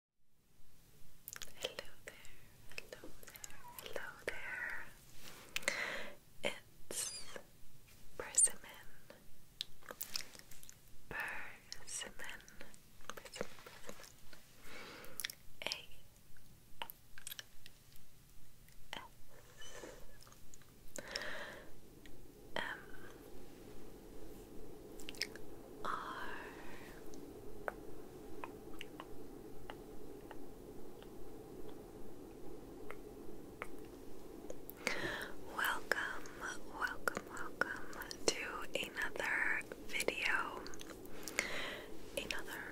Hello there, hello there, hello there. It's persimmon, persimmon, persimmon, persimmon. A S M R Welcome, welcome, welcome to another video, another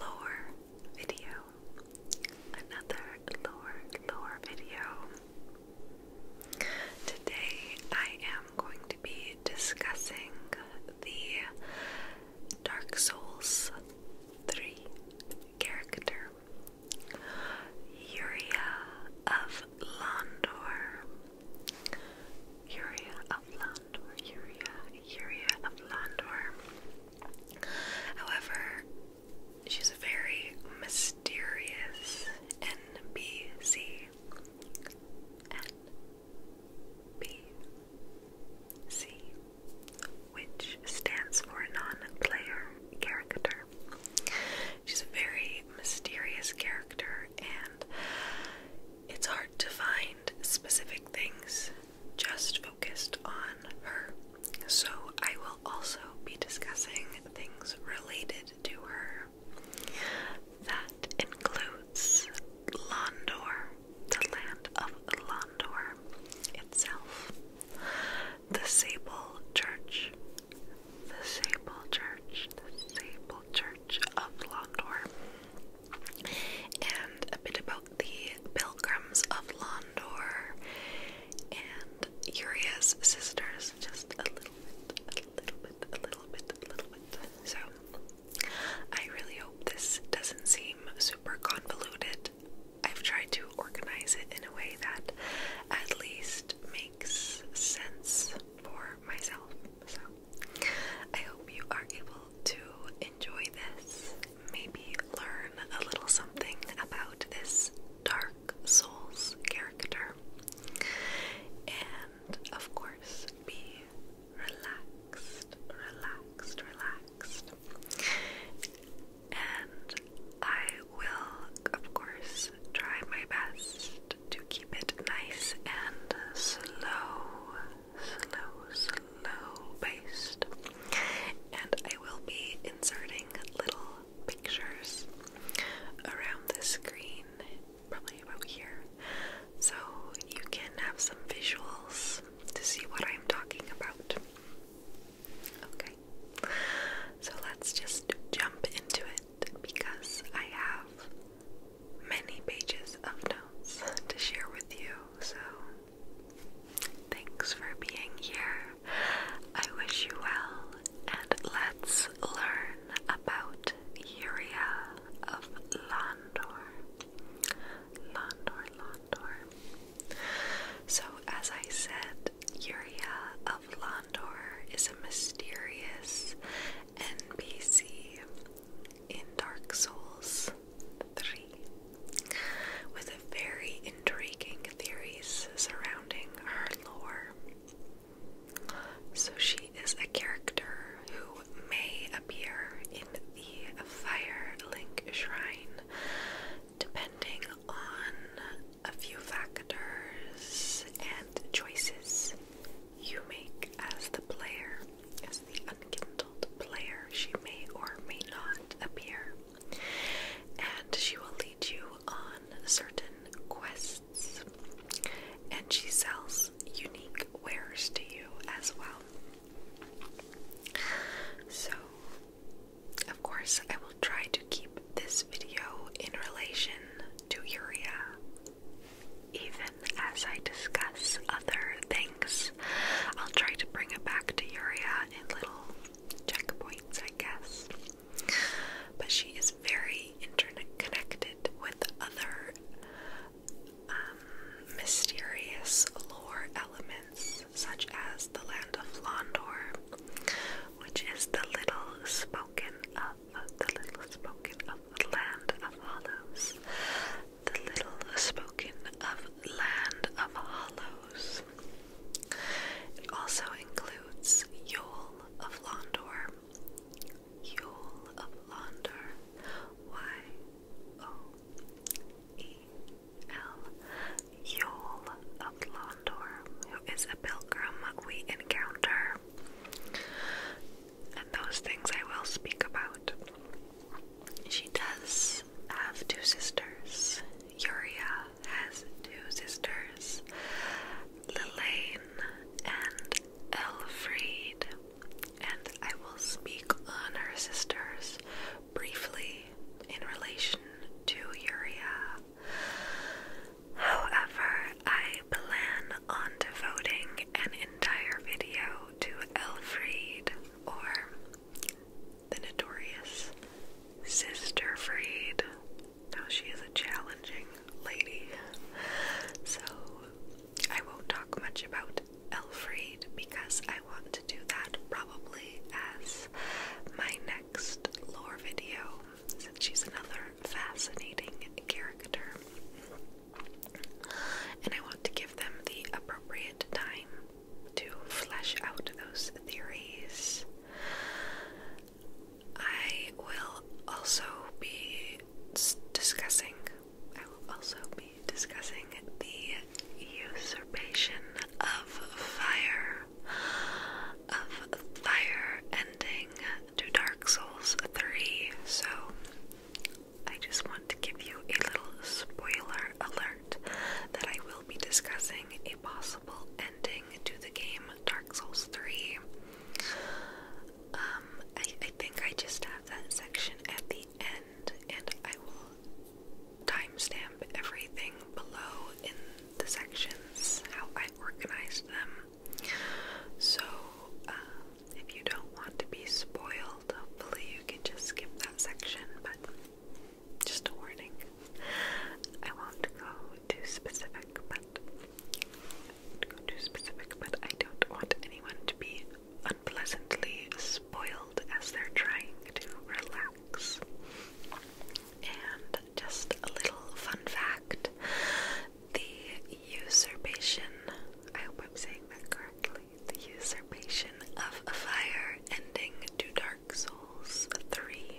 lore video, another lore, lore video. Today I am I'm going to be discussing the Dark Souls 3 character, Uria of Londor. Uria of Londor, Uria. Yuria of Londor. However, she's a very mysterious NPC. BC, which stands for non-player character. She's a very mysterious character, and it's hard to find specific things just focused on her. So I will also be discussing things related to her that includes Londor, the land of Londor itself, the Sable Church, the Sable Church, the Sable Church of Londor, and a bit about the Pilgrims of Londor and Uriah's sisters, just a little bit, a little bit, a little bit, a little bit. So, I really hope this doesn't seem super convoluted. I've tried to organize it in a way that at least makes sense for myself. So, I hope you are able to enjoy this, maybe learn a little something about this Dark Souls character, and of course be relaxed, relaxed, relaxed. And I will, of course, try my best to keep it nice and slow, slow, slow based. And I will be inserting little pictures around the screen probably about here, so you can have some visuals to see what I'm talking about. Okay, so let's just jump into it because I have many pages of notes to share with you. So, thanks for being here. I wish you well, and let's learn about Uria of Landor. Landor, Landor. So, as I said, Uria of Landor is a mysterious NPC in Dark Souls 3 with very intriguing theories surrounding her lore. So she is a character who may appear in the Fire Link Shrine depending on a few factors and choices you make as the player, as the unkindled player. She may or may not appear, and she will lead you on certain quests and she sells unique wares to you as well. So, of course, I will try to keep this video in relation to Uria, even as I discuss other things. I'll try to bring it back to Uria in little checkpoints, I guess. But she is very being interconnected with other um, mysterious lore elements, such as the land of Londor, which is the little spoken of the little spoken of land of hollows, the little spoken of land of hollows. It also includes Yol of Londor, Yule of Launder, Y O E L, Yule of Londor, who is a pilgrim we encounter. And those things I will speak about. She does have two sisters. Yuria has two sisters, Lilaine and Elfried, and I will speak on her sisters briefly in relation to Uriah. However, I plan on devoting an entire video to Elfried, or the notorious Sister Fried. Now she is a challenging lady. So I won't talk much about Elfried because I want to do that probably as my next lore video since she's another fascinating character. And I want to give them the appropriate time to flesh out those theories. I will also be discussing. I will also be discussing the usurpation of fire, of fire ending to Dark Souls 3. So I just want to give you a little spoiler alert that I will be discussing a possible ending to the game Dark Souls 3. Um, I, I think I just have that section at the end, and I will timestamp everything below in the sections, how I organized them. So, uh, if you don't want to be spoiled, hopefully you can just skip that section, but just a warning. I won't go too specific, but go too specific, but I don't want anyone to be unpleasantly spoiled as they're trying to relax. And just a little fun fact the usurpation, I hope I'm saying that correctly, the usurpation of a fire ending to Dark Souls 3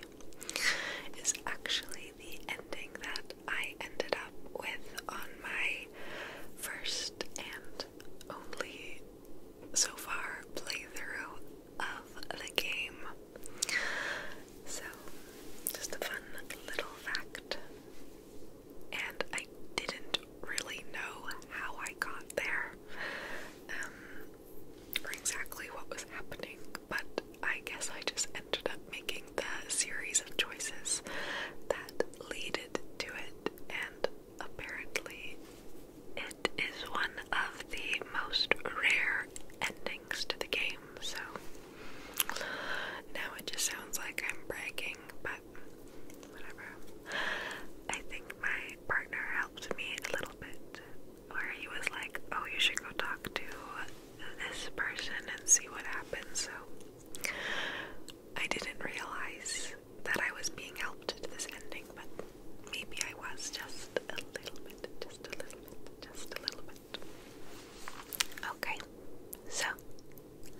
is actually the ending that I ended up with on my first and only so far playthrough of the game. So, just a fun little fact. And I didn't really know how I got there um, or exactly what was happening, but I guess I just ended up making the series of choices that leaded to it, and apparently, it is one of the most rare endings to the game. So now it just sounds like I'm bragging, but whatever. I think my partner helped me a little bit, where he was like, "Oh, you should go talk to this person and see what happens. So I didn't realize that I was being helped to this ending, but maybe I was just a little bit, just a little bit, just a little bit. Okay, so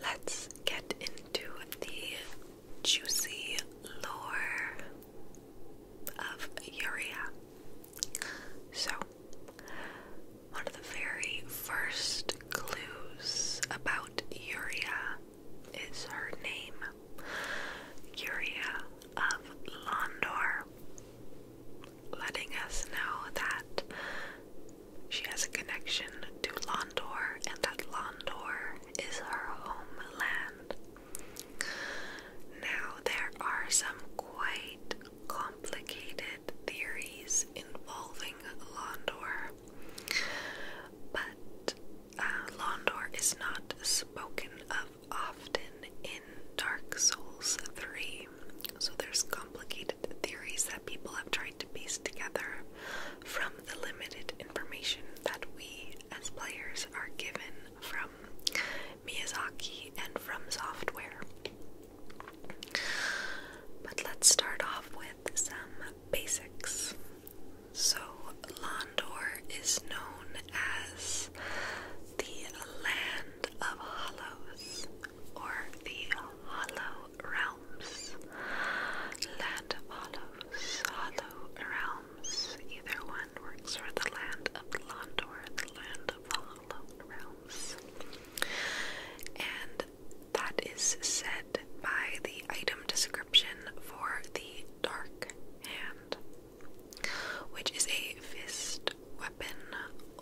let's get into the juicy lore of Uria. So, one of the very first clues about Uria is her name, Uria of Londor, letting us know that she has a connection to Londor and that Londor is her homeland. Now, there are some quite complicated theories involving Londor, but uh, is not spoken of often in Dark Souls 3, so there's complicated theories that people have tried to piece together from the limited information that we as players are given from Miyazaki and from software. But let's start off with some basics. So, Londor is known as the Land of Hollows or the Hollow Realms. Land of Hollows, Hollow Realms, either one works for the Land of Londor, the Land of and that is said by the item description for the Dark Hand, which is a fist weapon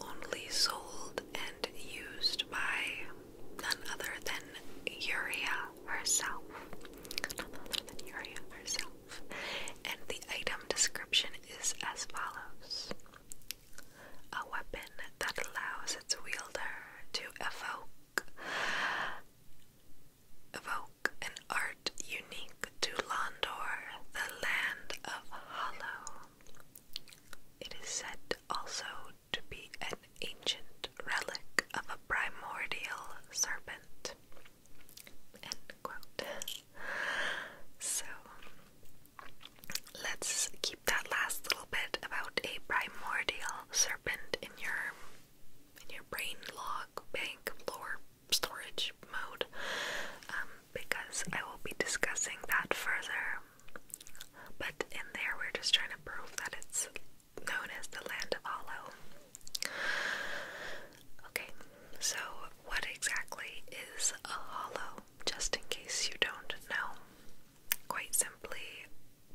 only sold and used by none other than Yuria herself. None other than Yuria herself. And the item description is as follows a weapon that allows its wielder to evoke evoke an art unique to Londor, the land of Hollow. It is said also to be an ancient relic of a primordial serpent. So Let's keep that last little bit about a primordial serpent in your in your brain log bank lore storage mode um, because I will be discussing that further. But in there, we're just trying to prove that it's known as the land of Hollow. Okay, so what exactly is a hollow? just in case you don't know. Quite simply,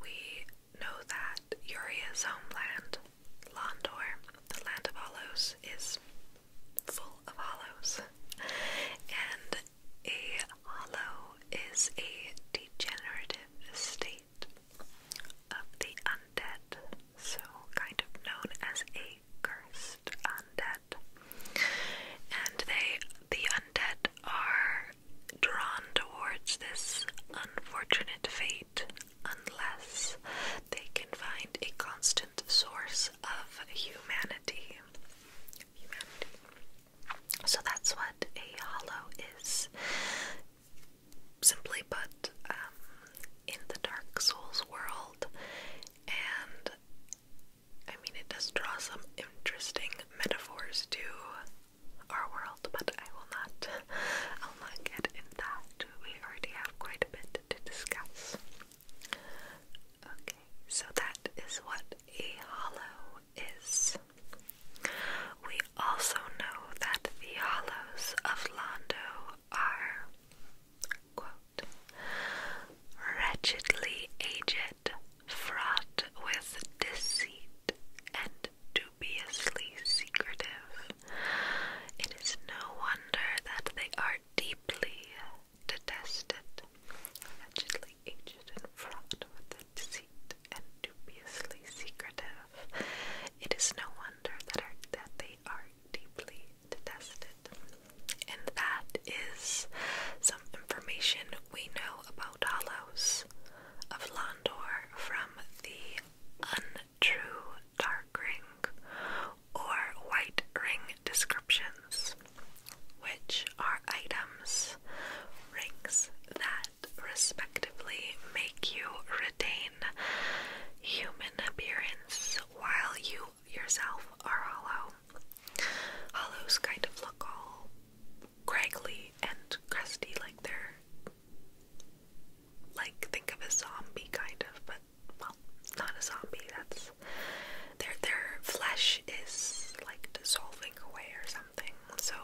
we know that Uria's homeland, Londor, the land of hollows, is full of hollows. And a hollow is a degenerative state of the undead, so kind of known as a cursed undead. And they the undead are drawn towards this unfortunate fate unless they can find a constant source of humanity. So that's what a hollow is. Simply put, um, in the Dark Souls world, and I mean, it does draw some interesting metaphors to our world, but I will not. get into that. We already have quite a bit to discuss. Okay, so that is what a hollow is. We also know that the hollows of Londo are wretchedly aged, fraught with deceit and dubiously secretive. It is no wonder that they are deeply detested. Allegedly aged fraught with deceit and dubiously secretive. It is no wonder that, are, that they are deeply detested. And that is some information we know about Hollows of Londor from the Untrue Dark Ring or White Ring descriptions, which are items, rings that respectively make you retain human appearance while you yourself are hollow. Hollows kind of look all craggly and crusty, like they're like think of a zombie kind of, but well, not a zombie. That's their their flesh is like dissolving away or something. So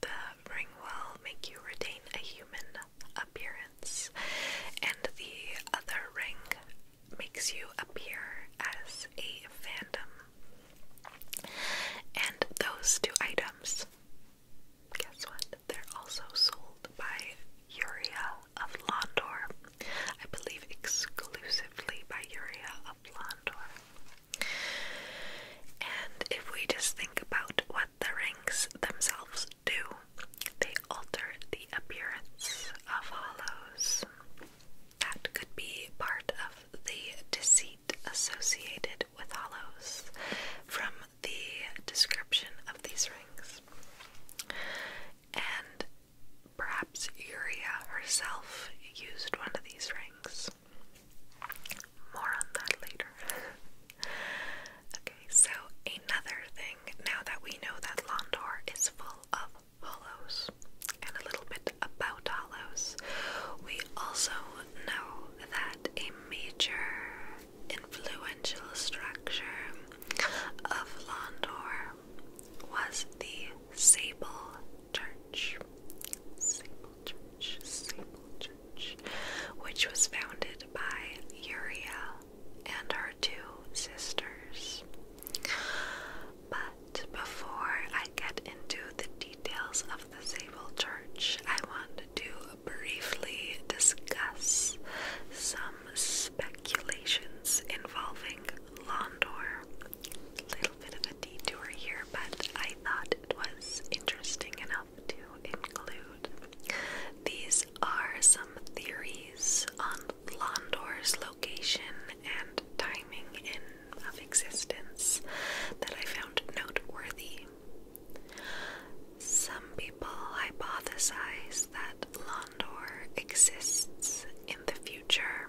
the ring will make you retain a human appearance, and the other ring makes you appear as a phantom, And those two items, guess what? They're also sold by Uria of Londor. I believe exclusively by Uria of Londor. And if we just think about what the rings themselves do, they alter the appearance of hollows. That could be part of the deceit associated with hollows from the description of these rings. And perhaps Eurya herself used one of these rings. More on that later. okay, so another thing now that we know that Londor is full of Hollows and a little bit about Hollows. We also know that a major influential structure of Londor was the Sable Church. Sable Church, Sable Church, which was founded by Uriel and her two sisters. But before I get into the details of the Sable Church, I want to briefly discuss some speculations involving Londor. little bit of a detour here, but I thought it was interesting enough to include. These are some theories on Londor's location and timing in of existence that I found noteworthy. Some people hypothesize that Londor exists in the future.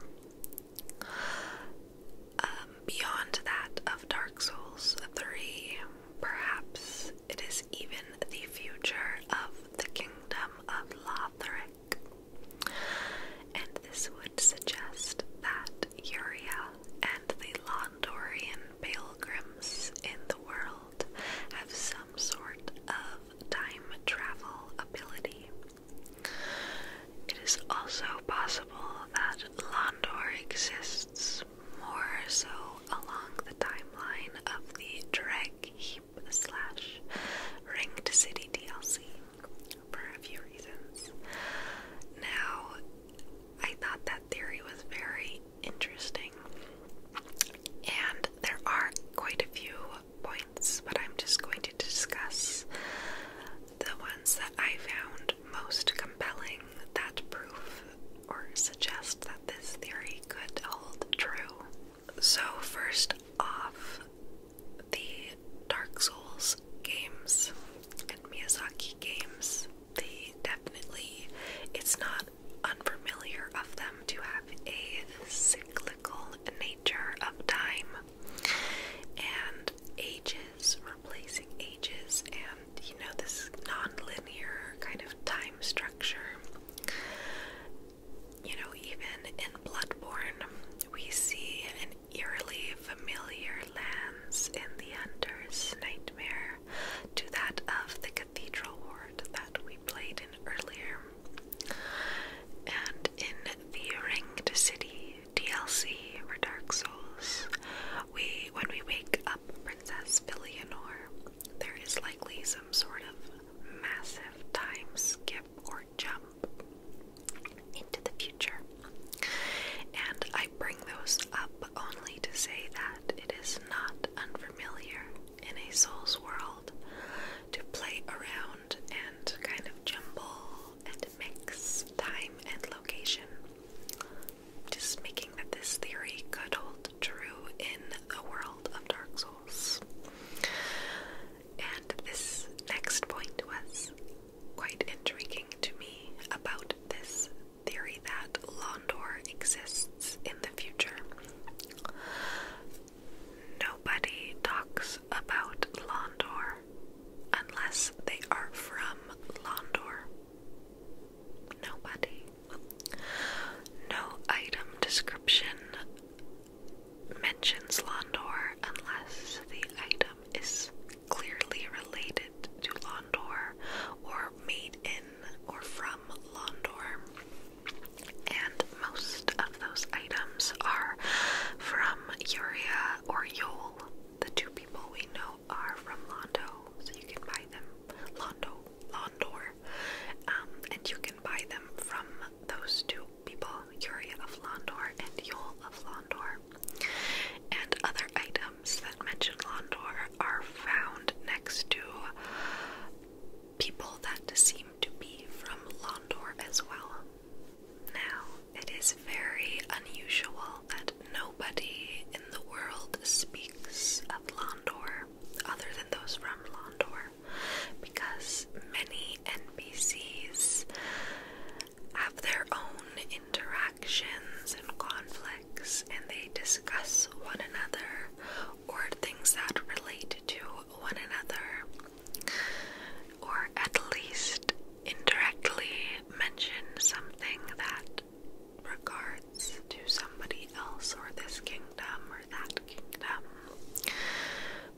Um, beyond that of Dark Souls 3, perhaps it is even the future of the kingdom of Lothric. And this would suggest that Uria and the Londorian pilgrims in the world have some sort of time travel ability. It is also possible that Londor exists more so along the timeline of the Dreg slash Ringed City DLC for a few reasons. Now, I thought that theory was very interesting, and there are quite a few points, but I'm just going to discuss the ones that I found most compelling that prove or suggest that this theory could hold true. So, first off, the Dark Souls games and Miyazaki games, they definitely, it's not unfamiliar of them to have a cyclical nature of time and ages replacing ages, and you know, this non linear kind of time structure you know, even in Bloodborne, we see an eerily familiar lands in the Hunter's Nightmare to that of the Cathedral Ward that we played in earlier. And in the Ringed City DLC for Dark Souls, we when we wake up Princess Villianor, there is likely some sort of massive time skip or jump into the future. And I bring those up only to say that it is not unfamiliar in a soul's world to play around and kind of jumble and mix time and location. Just making that this theory could hold true in the world of Dark Souls. And this next point was quite intriguing to me about this theory that Londor exists in the future. Nobody talks about Londor unless they are from Londor. Nobody. No item description mentions Londor unless the item is clearly related to Londor or made in or from Londor. And most of those items are from Yuria or Yol. The two people we know are from Londo, so you can buy them. Londo, Londor. Um, and you can buy them from those two people, Yuri of Londor and Yol of Londor. And other items that mention Londor are found next to people that seem to be from Londor as well. Now, it is very unusual that nobody in the world speaks of Londor other than those from Londor because many NPCs have their own interactions and conflicts and they discuss one another or things that relate to one another or at least indirectly mention something that regards to somebody else or this kingdom that kingdom.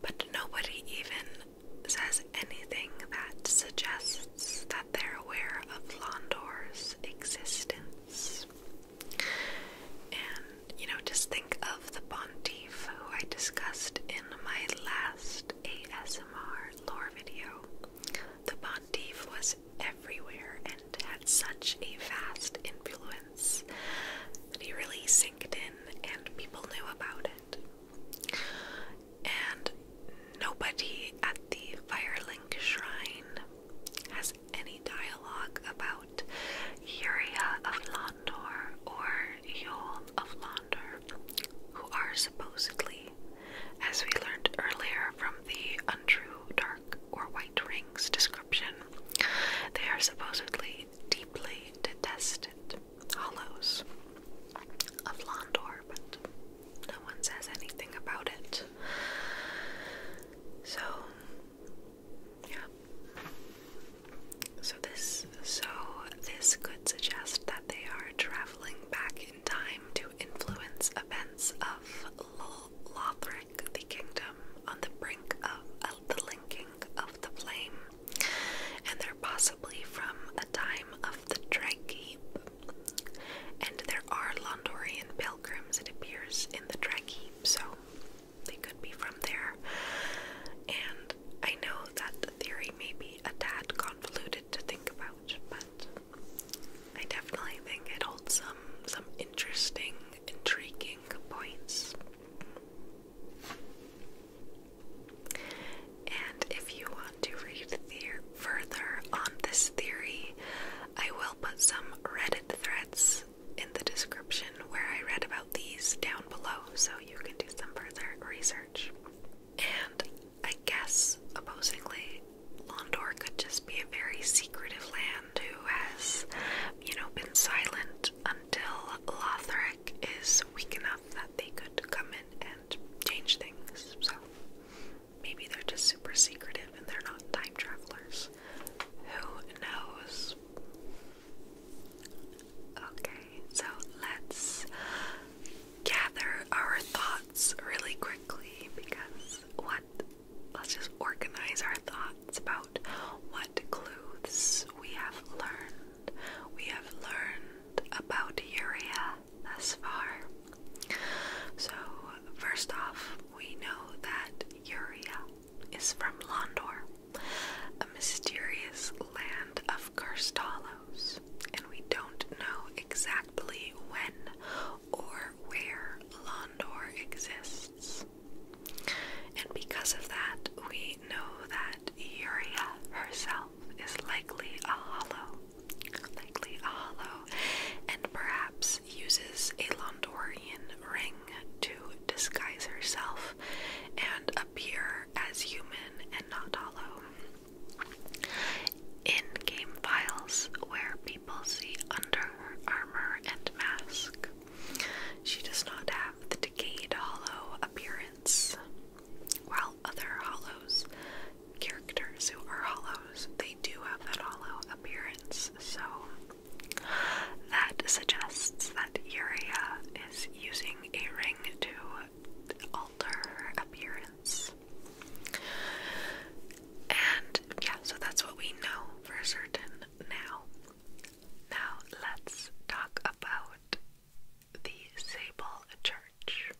But nobody even says anything that suggests that they're aware of Londor's existence. And, you know, just think of the Pontiff who I discussed in my last ASMR lore video. The Pontiff was everywhere and had such a vast influence influence he really sank in and people knew about it. And nobody at the Firelink Shrine has any dialogue about Yuria of Londor or Yol of Londor, who are supposedly, as we learned earlier from the untrue dark or white rings description, they are supposedly deeply detested hollows of Londor, but no one says anything about it. So, yeah. So this, so this could suggest that they are traveling back in time to influence events of Lothric, the kingdom on the brink of the linking of the flame and they're possibly from a time of the Dragheap. And there are Londorian pilgrims, it appears, in the Dragheap, so they could be from there. And I know that theory may be a tad convoluted to think about, but I definitely think it holds some some interesting, intriguing points. And if you want to read further on this theory, I will put some Reddit threads in the description where I read about these down below so you can do some further research. And I guess, opposingly, Londor could just be a very secretive land who has, you know, been silent until Lothric is weak enough that they could come in and change things. So maybe they're just super secretive and they're not time travelers. Who knows? Okay, so let's gather our thoughts really quickly because what? Let's just organize our thoughts about what clues we have learned. We have learned about urea thus far. So, first off, we know that urea is from Londor, a mysterious land of Karstalos, and we don't know exactly when or where Londor exists. And because of that, we know that Yuria herself is likely a hollow, likely a hollow, and perhaps uses a Londorian ring to disguise herself and appear as human and not hollow. In game files where people see under her armor and mask, she does not have the decayed hollow appearance. While other hollows characters who are hollows, they do have that hollow appearance. So that suggests that Yuria is using a ring to alter her appearance. And yeah, so that's what we know for certain now. Now let's talk about the Sable Church.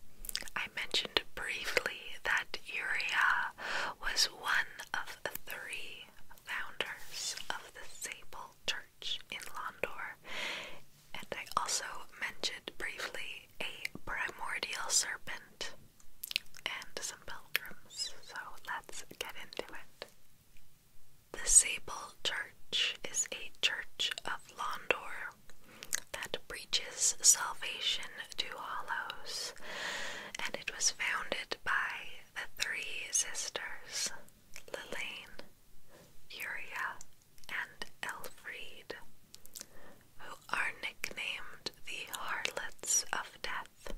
I mentioned briefly that Uriah was one of three founders of the Sable Church in Londor, and I also mentioned briefly a primordial serpent and some pilgrims. So let's get into it. The Sable Church is a church of Londor that preaches salvation to hollows, and it was founded by the three sisters, Lilaine, Uria, and Elfried, who are nicknamed the Harlots of Death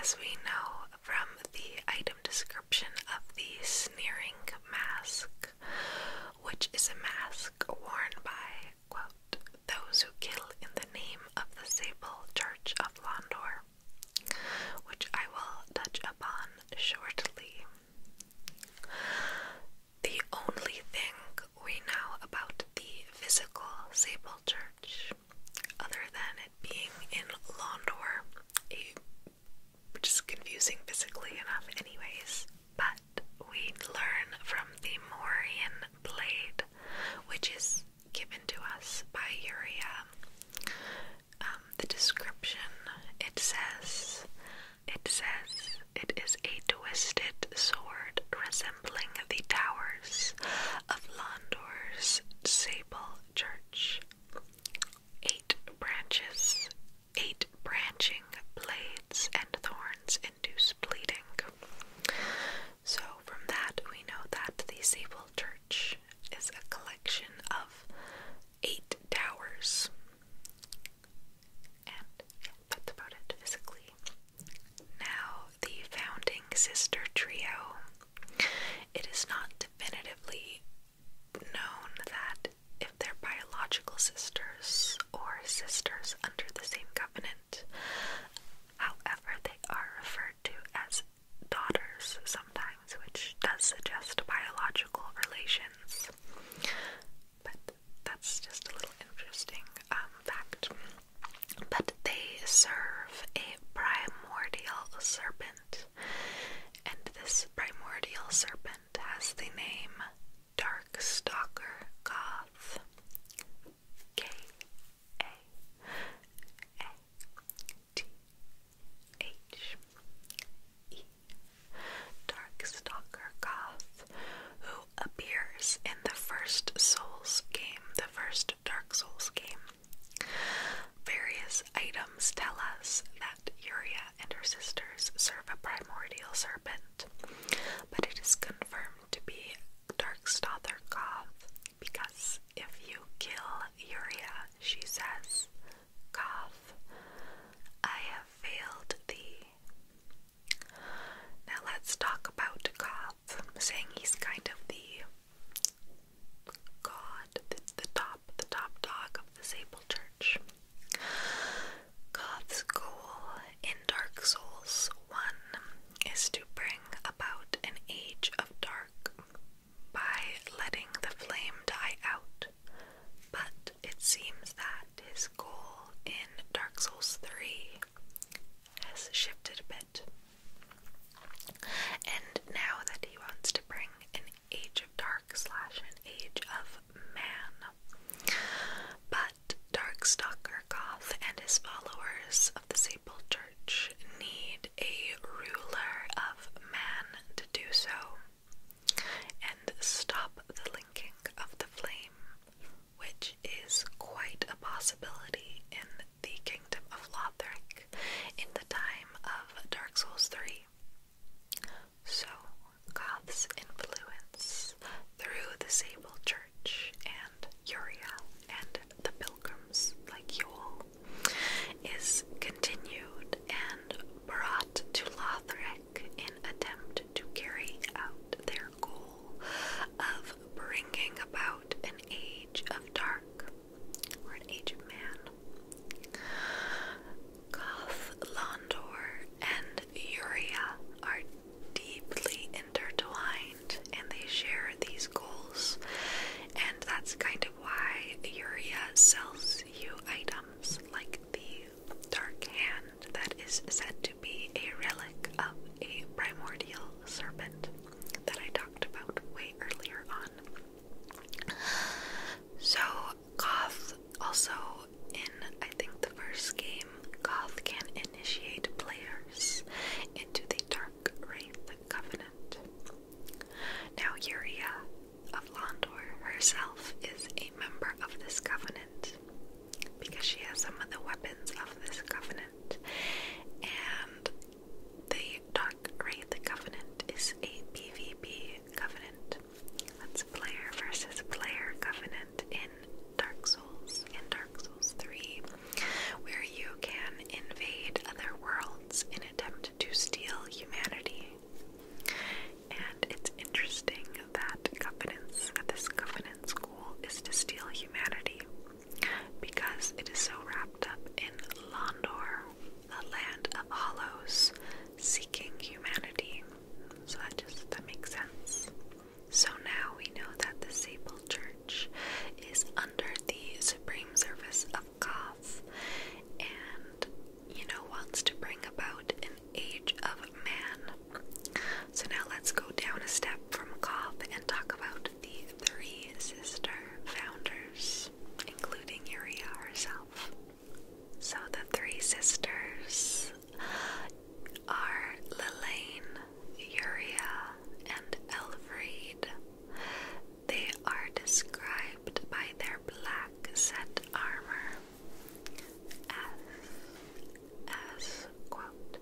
as we know from the item description of the sneering mask, which is a mask worn by, those who kill in the name of the sable church of Londor, which I will touch upon shortly. The only thing we know about the physical sable church, other than it being in Londor, which is confusing physically enough, anyways. But we learn from the Morian blade, which is given to us by Uriah. Um, the description it says, it says it is a twisted sword resembling the towers of Londor's Sable Church eight branches, eight branching blades and thorns induce bleeding. So, from that, we know that the Sable Church is a collection of eight towers. And yeah, that's about it physically. Now, the founding sister trio. It is not definitively known that if they're biological sisters or sisters under the same covenant, however, they are referred to as daughters sometimes, which does suggest biological relations. But that's just a little interesting um, fact. But they serve a primordial serpent and this primordial serpent has the name Dark Stalker Goth. K A A T H E Darkstalker Goth, who appears in the first Souls game, the first Dark Souls game. Various items tell us that Uria and her sisters serve a primordial serpent, but it is confirmed to be Darkstoth or Goth because if you kill Uria, she says, Goth, I have failed thee. Now let's talk about Goth, saying he's kind of the God, the, top, the top dog of the Sable Church. God's goal in Dark Souls 1 is to bring about an age of dark by letting the flame die out. But it seems that his goal in Dark Souls 3 has shifted a bit. And now that he wants to bring an age of dark slash an age of man. But Darkstalker Goth and his followers of the Sable Church need a ruler of man to do so and stop the linking of the flame, which is quite a possibility in the kingdom of Lothric in the time of Dark Souls 3. So, God's influence through the Sable Church and Uriel and the pilgrims like Yule is continued and brought to Lothric in attempt to carry out their goal of bringing about an age of dark or and Uria are deeply intertwined and they share these goals. And that's kind of why Uria sells you items like the Dark Hand that is said to be a relic of a primordial serpent that I talked about way earlier on. So, Goth also in I think the first game, Goth can initiate players into the Dark Wraith Covenant. Now, Yuria of Londor herself is a member of this covenant because she has some of the weapons of this covenant, and the Dark Wraith Covenant is a PvP covenant. That's player versus player covenant in Dark Souls, in Dark Souls 3, where you can invade other worlds in attempt to steal humanity. And it's interesting that this covenant school is to steal humanity because it is so wrapped up in Londor, the land of hollows seeking humanity. So that just that makes sense. So now we know that the Sable Church is under the supreme service of Goth and you know wants to bring about an age of man. So now let's go down a step from Goth and talk about the three sister founders, including Uria herself. So the three sisters are Lelaine, Uria, and Elfried. They are described by their black set armor as, as quote,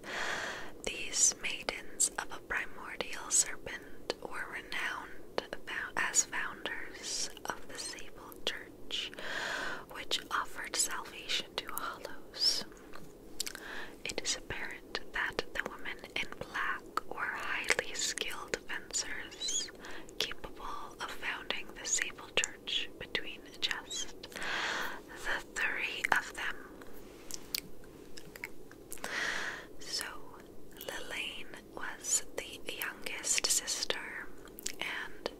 these maidens of a primordial serpent were renowned as founders of the Sable Church, which offered salvation to hollows. It is apparent that the women in black were highly skilled fencers, capable of founding the Sable Church between just the three of them. So, Lilaine was the youngest sister, and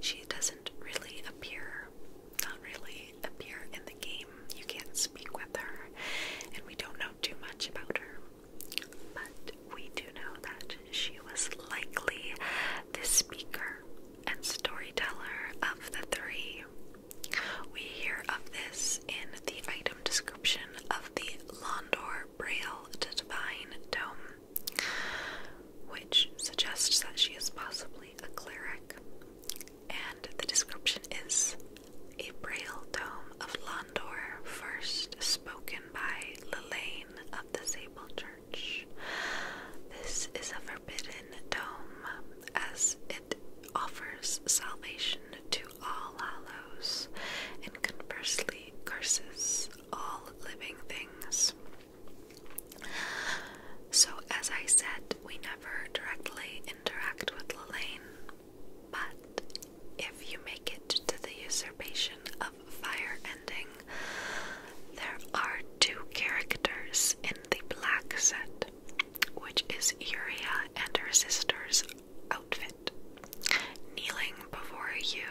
she doesn't really appear, not really appear in the game. You can't speak with her, and we don't know too much about her. But we do know that she was likely the speaker and storyteller of the three. We hear of this in the item description of the Londor Braille to Divine Tome, which suggests that she is possibly a cleric. And the description is a Braille Dome of Londor, first spoken by Lelaine of the Sable Church. This is a forbidden dome, as it offers salvation to all hallows, and conversely curses all living things. So, as I said, we never directly interact with Lelaine, but if you make it to the usurpation of fire ending, there are two characters in the black set, which is Uria and her sisters outfit. Kneeling before you,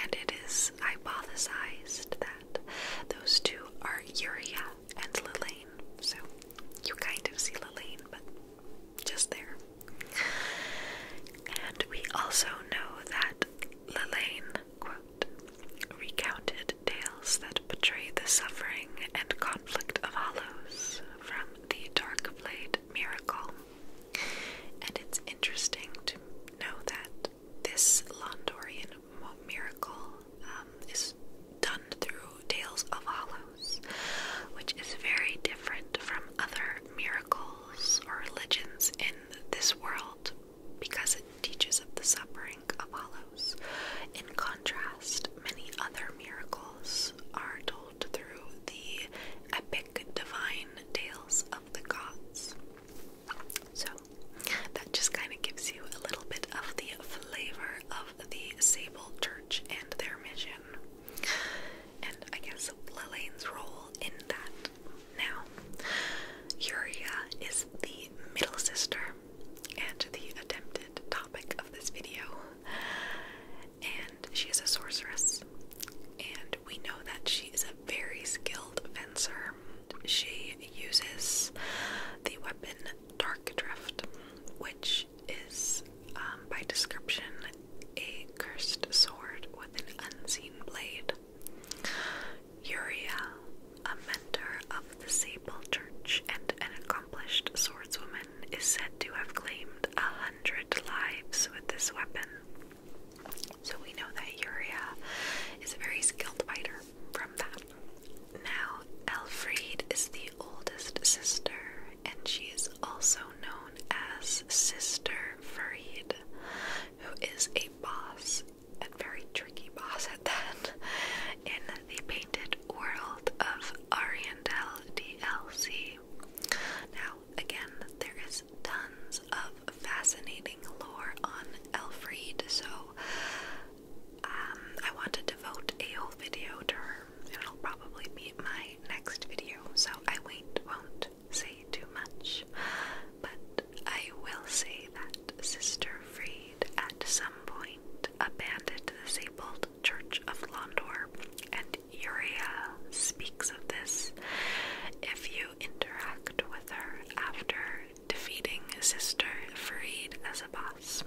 and it is hypothesized that those two are Uria and Lillane. So you kind of see Lillane, but just there. And we also know that Lillane, recounted tales that portray the suffering and conflict of Hollows from the Dark Blade miracle. And it's interesting to know that this Londorian miracle um, is done through Tales of Hollows, which is very different from other miracles or religions in this world because it teaches of the suffering of Hollows. In contrast, many other miracles are told through the epic divine tales of the gods. So, that just kind of gives you a little bit of the flavor of the Sable Church and their mission, and I guess Lelaine's role in that. Now, Yuria is the middle sister and the attempted topic of this video and she is a sorceress. And we know that she is a very skilled fencer. She uses the weapon Dark Drift, which is, um, by description, a cursed sword with an unseen blade. Uria, a mentor of the Sable Church and an accomplished swordswoman, is said to have claimed a hundred lives with this weapon. So we know that Yuria is a very skilled fighter from that. Now, Elfriede is the oldest sister, and she is also known as Sister Farid, who is a boss, a very tricky boss at that, in the painted world of Ariandel DLC. Now, again, there is tons of fascinating lore on Elfriede, so um, I want to devote a whole video to her. It'll probably be my next video, so I won't, say too much. But I will say that Sister Fried, at some point abandoned the Sabled Church of Londor and poet Uria speaks of this. If you interact with her after defeating Sister Farid as a boss.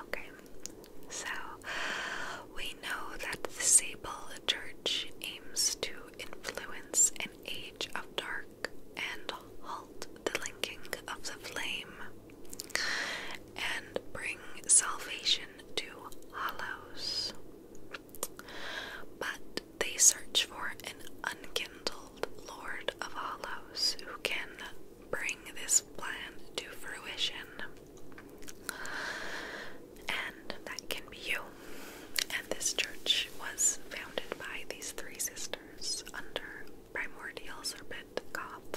Okay, so we know that the Sable Church aims to influence an age of dark and halt the linking of the flame and bring salvation to hollows. But they search for an unkindled Lord of Hollows who can bring this plan to fruition. And that can be you. And this church was founded by these three sisters under primordial serpent cop.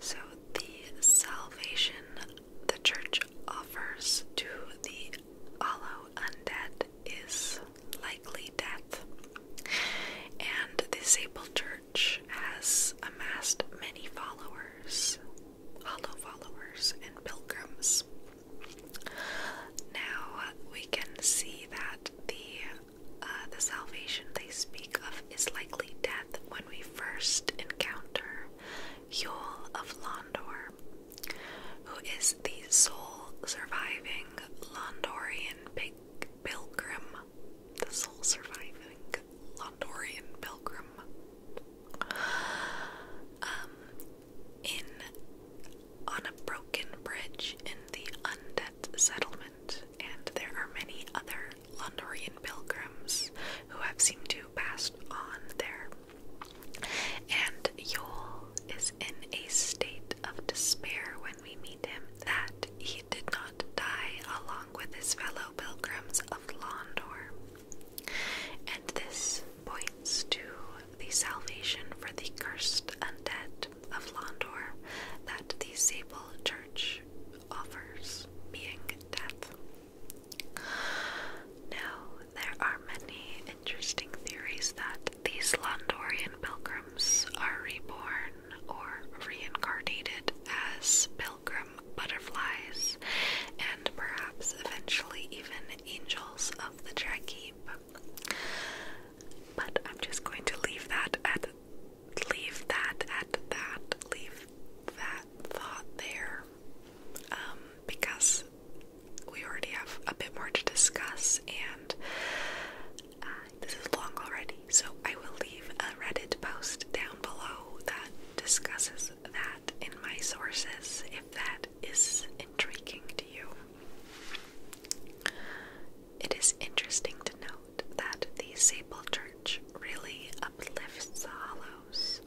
So, the salvation the church offers to the hollow undead is likely death, and the Sable Church has amassed many followers, hollow followers, and pilgrims. Now we can see that the uh, the salvation they speak of is likely death when we first encounter Yule of Londor, who is the sole surviving Londorian pilgrim. The sole surviving Londorian pilgrim. Um, in On a Broken Bridge in the Undead Settlement and there are many other Londorian pilgrims who have seemed to pass on there. And Yule is in a state of despair when we meet him that he did not die along with his fellow pilgrims of Londor. And this points to the salvation for the cursed undead of Londor that the Sable Church offers, being death. Now, there are many interesting theories that these Londorian pilgrims are reborn or reincarnated as pilgrim butterflies and perhaps eventually even angels of the Drakeep. But I'm just going to leave that at leave that at that, leave that thought there, um, because we already have a bit more to discuss, and uh, this is long already. So I will leave a Reddit post down below that discusses that in my sources if that is intriguing to you. It is interesting to know that the Sable Church really uplifts the Hollows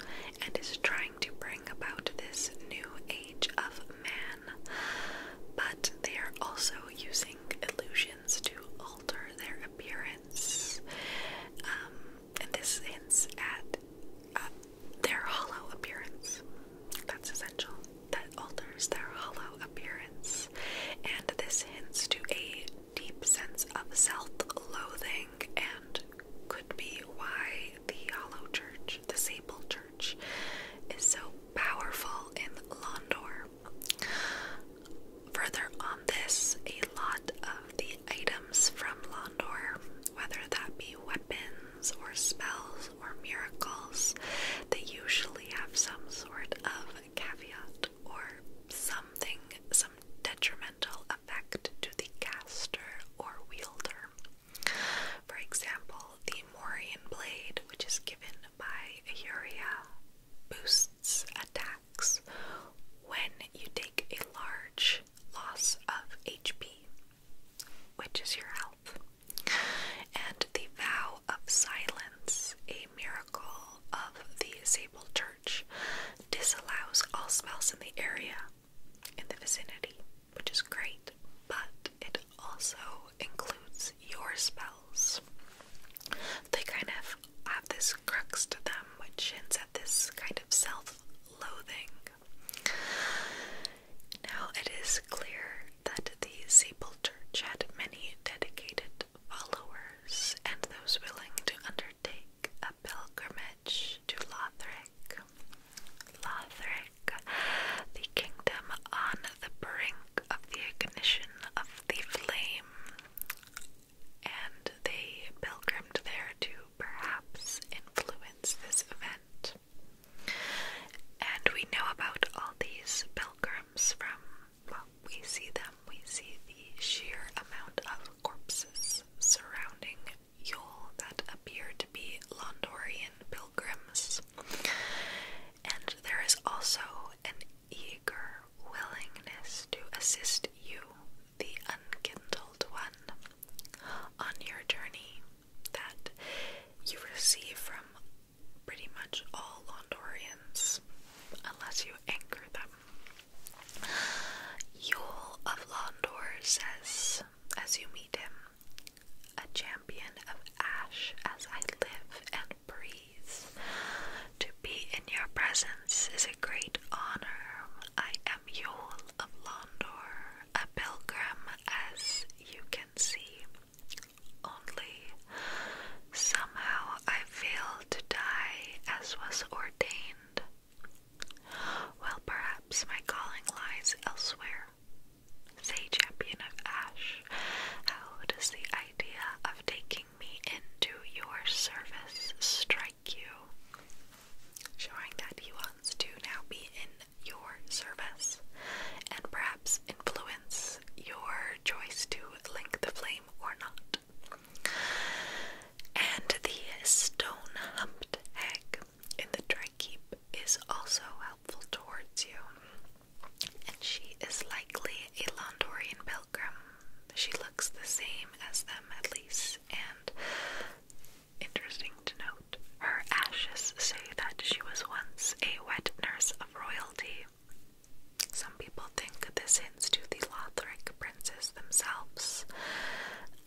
and is trying to bring about this new age of man, but they are also using illusions to alter their appearance. Um, and this hints at uh, their hollow appearance. That's essential. That alters their hollow appearance, and this hints to a deep sense of self-loathing and could be why the Hollow Church, the Sable Church, is so powerful in Londor. Further on this, a lot of the items from Londor, whether that be weapons or spells or miracles, they usually have some sort of caveat or something, some detrimental effect to the caster or wielder. For example, the Morian blade, which is given by Yuria, boosts attacks when you take a large loss of HP, which is your health. And the Vow of Silence, a miracle of the Sable Church disallows all spells in the area, in the vicinity, which is great, but it also includes your spells. They kind of have this crux to them, which hints at this kind of self loathing. Now, it is clear that the Sable Church had many dedicated followers and those willing to undertake a pilgrimage to Lothric. Lothric, the kingdom on the brink of the ignition of the flame, and they pilgrimed there to perhaps influence this event. And we know about all these pilgrims from, what we see them, we see the sheer amount of corpses surrounding Yule that appear to be Londorian pilgrims. And there is also an eager willingness to assist you, the unkindled one, on your journey that you receive from pretty much all Londorians, unless you anchor them. Yule of Londor says, as you meet him, a champion of ash as I live and breathe. To be in your presence is a great honor. I am Yule of Londor, a pilgrim as you can see. Only somehow I fail to die as was ordained. Well, perhaps my calling lies elsewhere. Say, champion of Ash, how does the idea of taking me into your service strike you? Showing that he wants to now be in your service and perhaps influence your choice to link the flame or not. And the stone humped egg in the dry keep is also helpful towards you. And she is likely a Londorian pilgrim. She looks the same as them, at least, and interesting to note, her ashes say that she was once a wet nurse of royalty some people think this hints to the Lothric princes themselves,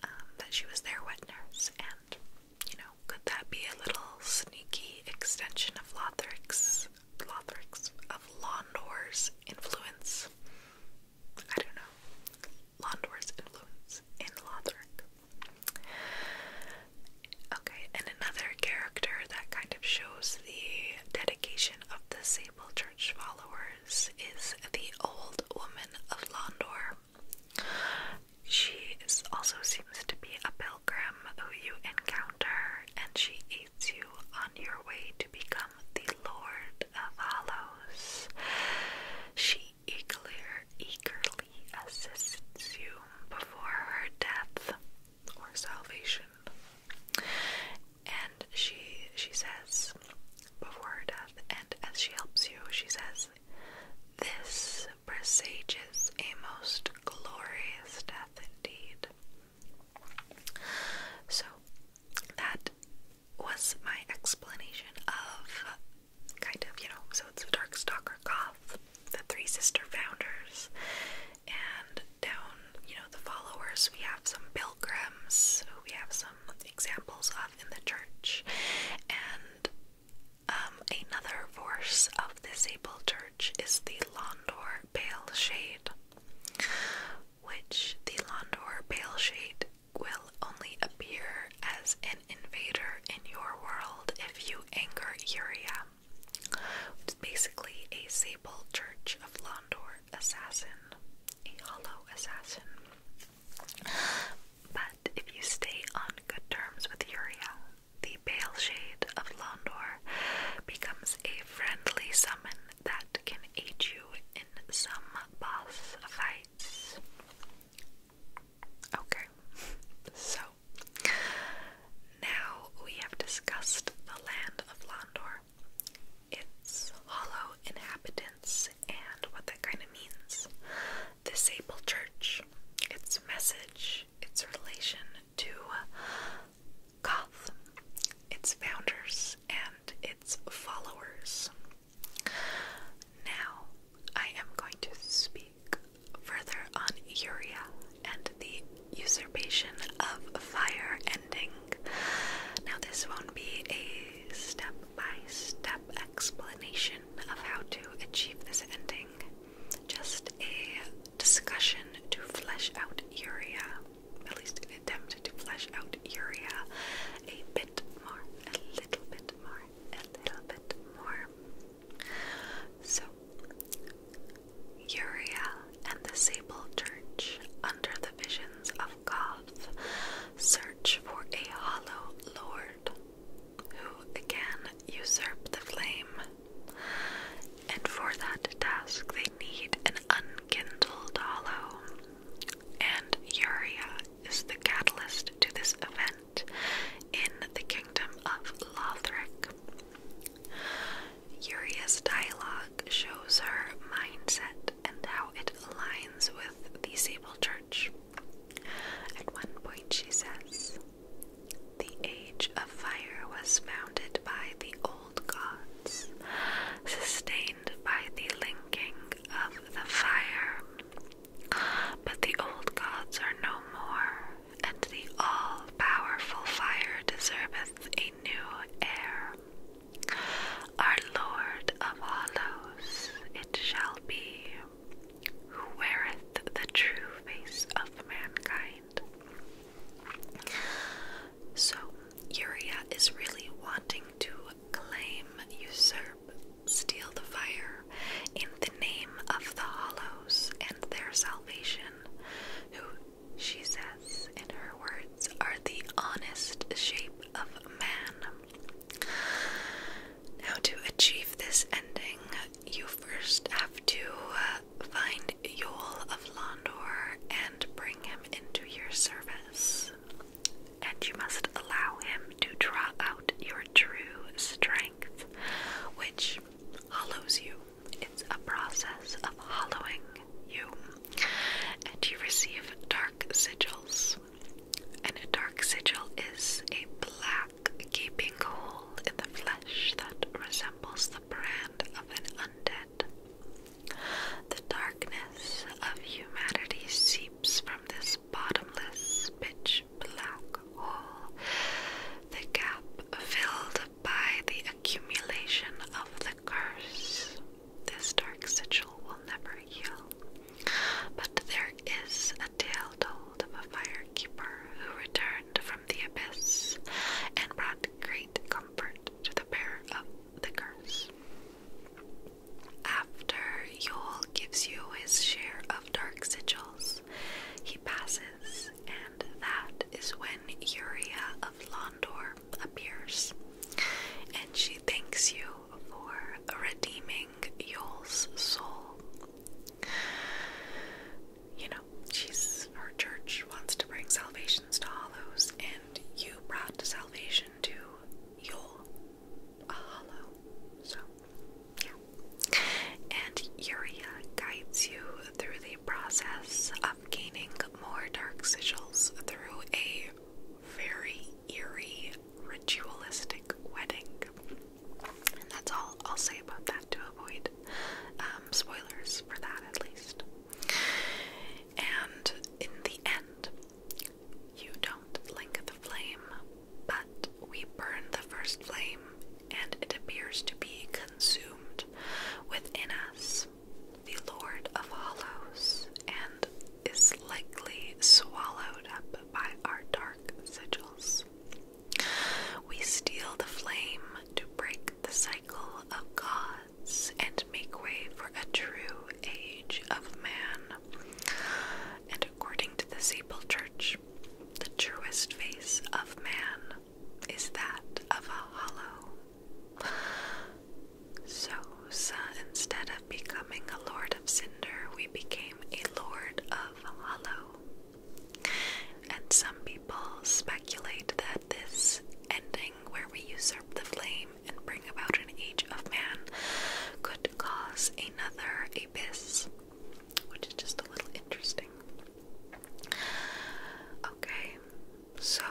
um, that she was their wet nurse, and you know, could that be a little sneaky extension of Lothric's, Lothric's of Londor's influence? I don't know. Londor's influence in Lothric. Okay, and another character that kind of shows the dedication of the Sable Church followers is the Old Woman of Londor. She also seems to be a pilgrim who you encounter, and she aids you on your way to become the Lord of Hollows. She eager, eagerly assists you before her death or salvation. And she she says before her death, and as she helps you, she says, This presages a most glorious death indeed. So that was my explanation of kind of, you know, so it's a dark stalker cough the three sister founders, and down, you know, the followers, we have some pilgrims we have some examples of in the church, and um, another force of the sable church is the Londor Pale Shade, which the Londor Pale Shade will only appear as an invader in your world if you anger Yuria. It's basically a sable church of Londor assassin, a hollow assassin. But if you stay on good terms with Uriel, the pale shade of Londor becomes a friendly summon that can aid you in some boss fights. Okay, so now we have discussed the land of Landor, its hollow inhabitants, and what that kind of means, the Sable Church, its message, its relation to Koth, its founders, and its followers. Now, I am going to speak further on Uria and the usurpation of fire ending. Now, this won't be a step by step explanation of how to achieve this ending, just a discussion to flesh out Uria, at least an attempt to flesh out Uria a bit more, a little bit more, a little bit more. So, Uria and the Sable Church, under the visions of Goth, search for a hollow lord who again usurp the flame. And for that task, they need an unkindled hollow. And Uria is the catalyst to this event in the kingdom of Lothric. Uria's dialogue shows her mindset and how it aligns with the Sable Church. At one point, she says, The Age of Fire was founded by the old gods, sustained by the linking of the fire. But the old gods are no more and the all powerful fire deserveth a new heir. Our Lord of Hollows it shall be, who weareth the true face of mankind. So, Uriah is really wanting to claim, usurp, steal the fire in the name of the Hollows and their salvation, who she says, in her words, are the honest shape of man. Now, to achieve this ending, you first have to uh, find Yol of Londor and bring him into your service. And you must allow him to draw out your true strength, which allows you. It's a process of hollowing you, and you receive dark sigils. And a dark sigil is a black gaping hole in the flesh that resembles the brand of an undead. The darkness of humanity seeps from this bottomless pitch black hole, the gap filled by the accumulation of the curse. This dark sigil will never heal. But there is a tale told of a fire keeper who returned from the abyss and brought great comfort to the bearer of the curse. After Yule gives you his share of dark sigils, he passes and that is when Uria of Londor appears, and she thanks you for redeeming Yol's soul. You know, she's her church wants to bring salvations to hollows, and you brought salvation to Yol, a hollow. So, yeah. And Uria guides you through the process of gaining more dark sigils through a very eerie ritualistic wedding. And that's all I'll say about that to avoid um, spoilers for that at least. And in the end, you don't link the flame, but we burn the first flame and it appears to be consumed within us. The Lord of Hollows, and is likely swallowed up by our dark sigils. We steal the flame to break the cycle of gods and make way for a true age of man. And according to the Sable Church, the truest face of man is that of a hollow. So, instead of becoming a lord of cinder, we became a lord of hollow. And some people speculate that this ending, where we usurp the flame and bring about an age of man, could cause another abyss, which is just a little interesting. Okay, so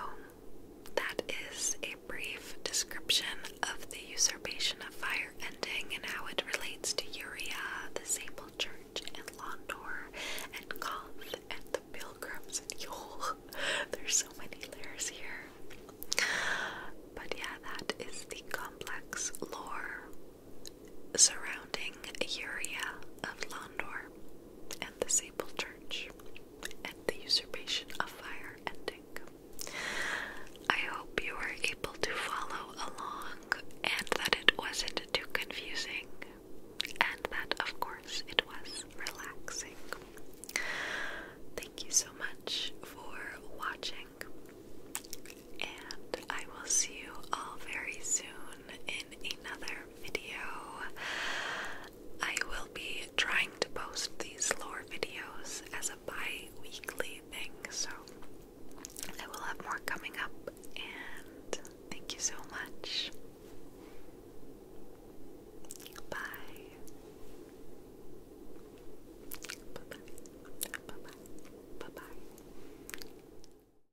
that is a brief description of the usurpation of fire ending and how it relates to Uria, the Sable Church, and Londor, and Koth, and the Pilgrims, and Yule. There's so many layers here. But yeah, that is the complex lore surrounding Uria of Londor and the Sable Church and the usurpation of fire ending. I hope you were able to follow along and that it wasn't too confusing and that, of course, it was relaxing. Thank you so much for watching, and I will see you all very soon in another video. I will be trying to post these lore videos as a bi weekly thing, so I will have more coming up. And thank you so much. Bye. Bye bye. Bye bye. Bye bye.